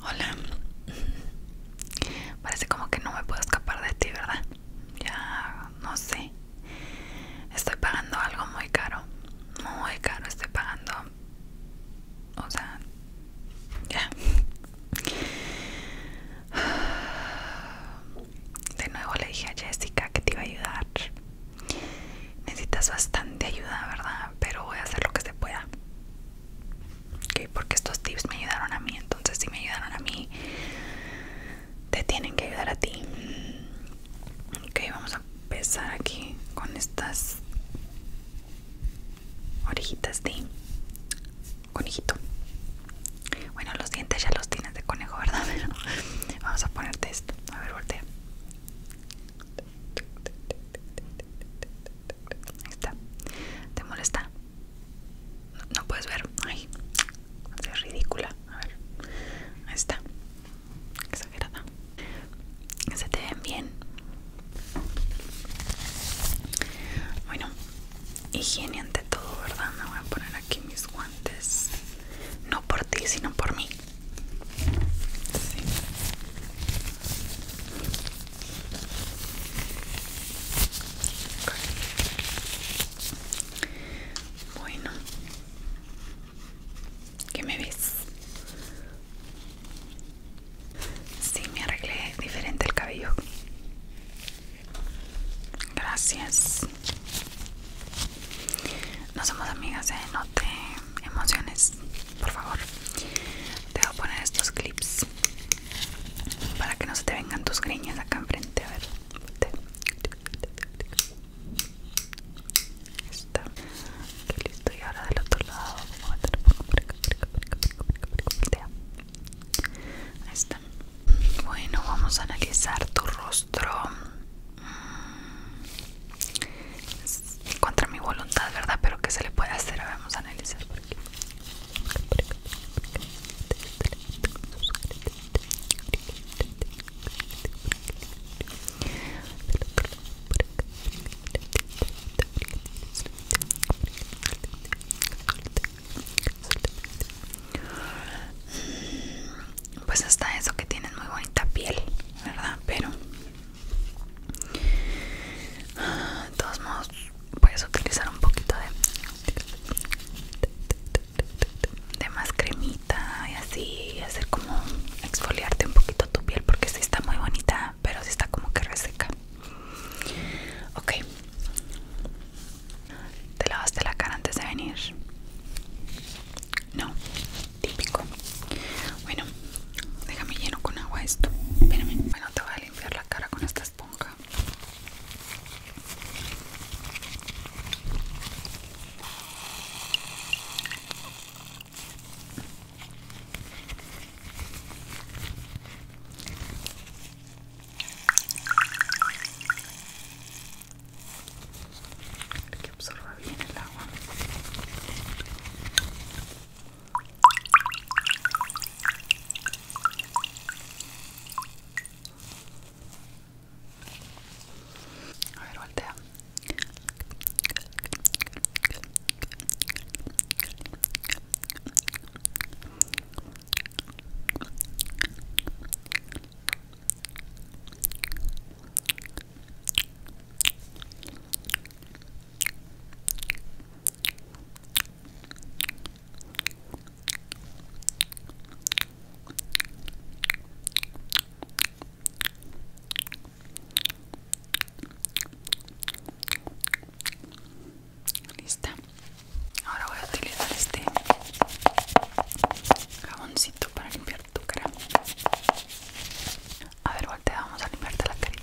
Hola. Parece como que no me puedo escapar de ti, ¿verdad? Ya no sé. Estoy pagando algo muy caro. Muy caro estoy pagando. O sea, ya. De nuevo le dije a Jessica que te iba a ayudar. Necesitas bastante ayuda, ¿verdad? Pero voy a hacer lo que se pueda. Ok, porque estos tips me ayudaron a mí entonces si me ayudaron a mí te tienen que ayudar a ti ok vamos a empezar aquí con estas orejitas de conejito bueno los dientes ya los tienes de conejo verdad vamos a ponerte esto a ver voltea Ahí está. ¿Te molesta? No, puedes ver. Ay, es ridícula. A ver. Ahí está. Exagerada. Se te ven bien. Bueno, higiene ante todo, ¿verdad? Me voy a poner aquí mis guantes. No por ti, sino por mí. Bueno, ¿qué me ves? Sí, me arreglé diferente el cabello. Gracias. No somos amigas, ¿eh? No te emociones por favor te voy a poner estos clips para que no se te vengan tus griñas acá enfrente a ver está aquí listo y ahora del otro lado vamos a meter ahí está bueno vamos a analizar tu rostro contra mi voluntad, ¿verdad? Pero ¿qué se le puede hacer? Vamos a analizar por Pues está eso que tienen muy bonita piel, ¿verdad? Pero de todos modos, puedes utilizar un poquito de, de más cremita y así hacer como exfoliarte un poquito tu piel porque si está muy bonita, pero si está como que reseca. Ok, ¿te lavaste la cara antes de venir? No, típico Bueno, déjame lleno con agua esto Espérame. Bueno, te voy a limpiar la cara con esta esponja Perché absorba bene l'acqua a ver, voltea. Muy Lista. Ahora voy a utilizar este caboncito para limpiar. A ver, volteamos a limpiarte la carita.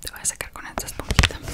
Te voy a sacar con esta esponjita. A ver,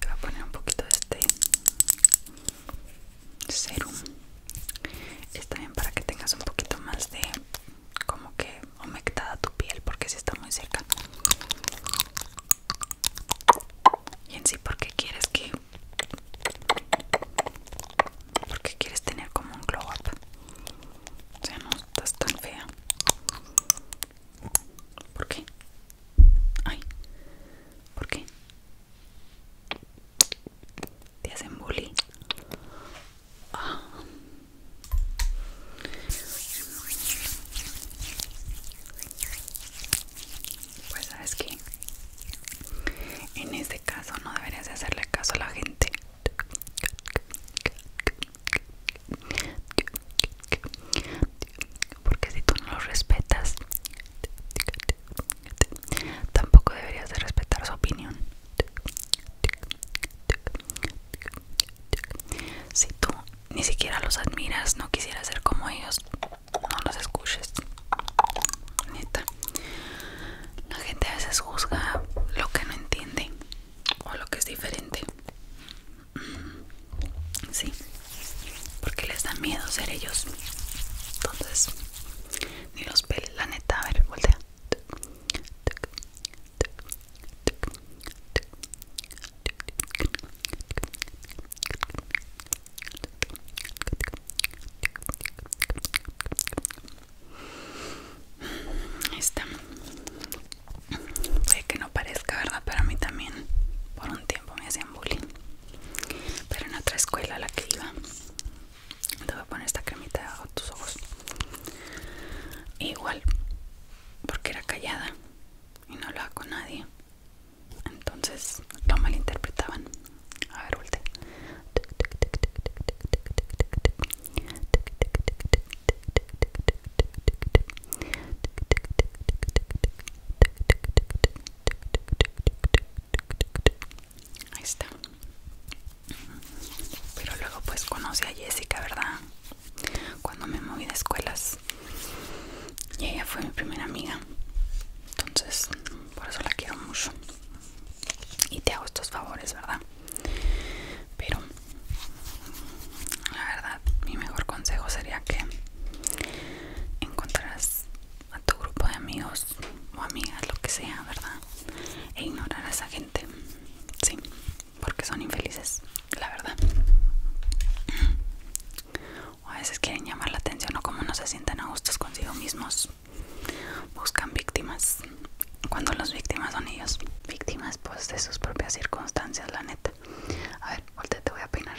Voy a poner un poquito de este serum. Está bien para que tengas un poquito más de como que humectada tu piel porque si está muy seca. Y en sí porque quieres que porque quieres tener como un glow up o sea, no estás tan fea. ¿Por qué? Ay, ¿por qué? ¿Te hacen bullying? Ah. Pues sabes que en este caso no deberías hacerle caso a la gente porque si tú no los respetas, tampoco deberías de respetar su opinión. Si tú ni siquiera los admiras, no quisieras ser como ellos, no los escuches. La gente a veces juzga lo que no entiende o lo que es diferente. Mm, sí, porque les da miedo ser ellos. Entonces, ni los peles, la neta, a ver, voltea. Esta Puede que no parezca, ¿verdad? Pero a mí también por un tiempo me hacían bullying Pero en otra escuela a la que iba Te voy a poner esta cremita a tus ojos Igual Porque era callada Y no hablaba con nadie Entonces lo malinterpretaban a ver, voltea. Ahí está. Pero luego pues conocí a Jessica, ¿verdad? Cuando me moví de escuelas. Y ella fue mi primera amiga. Entonces por eso la quiero mucho y te hago estos favores, ¿verdad? Pero la verdad, mi mejor consejo sería que encontraras a tu grupo de amigos o amigas, lo que sea, ¿verdad? E ignorar a esa gente, sí, porque son infelices, la verdad. O a veces quieren llamar la atención o como no se sienten a gustos consigo mismos buscan víctimas cuando las víctimas son ellos víctimas pues de sus propias circunstancias la neta a ver te voy a peinar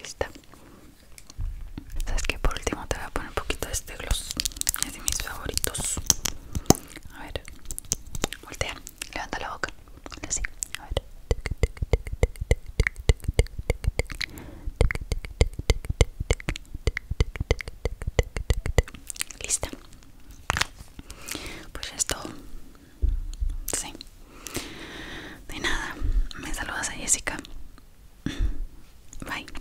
Lista. Sabes que por último te voy a poner un poquito de este gloss mis favoritos. A ver, voltea, levanta la boca. Así, a ver. Lista. Pues ya es todo. Sí. De nada, me saludas a Jessica. Bye.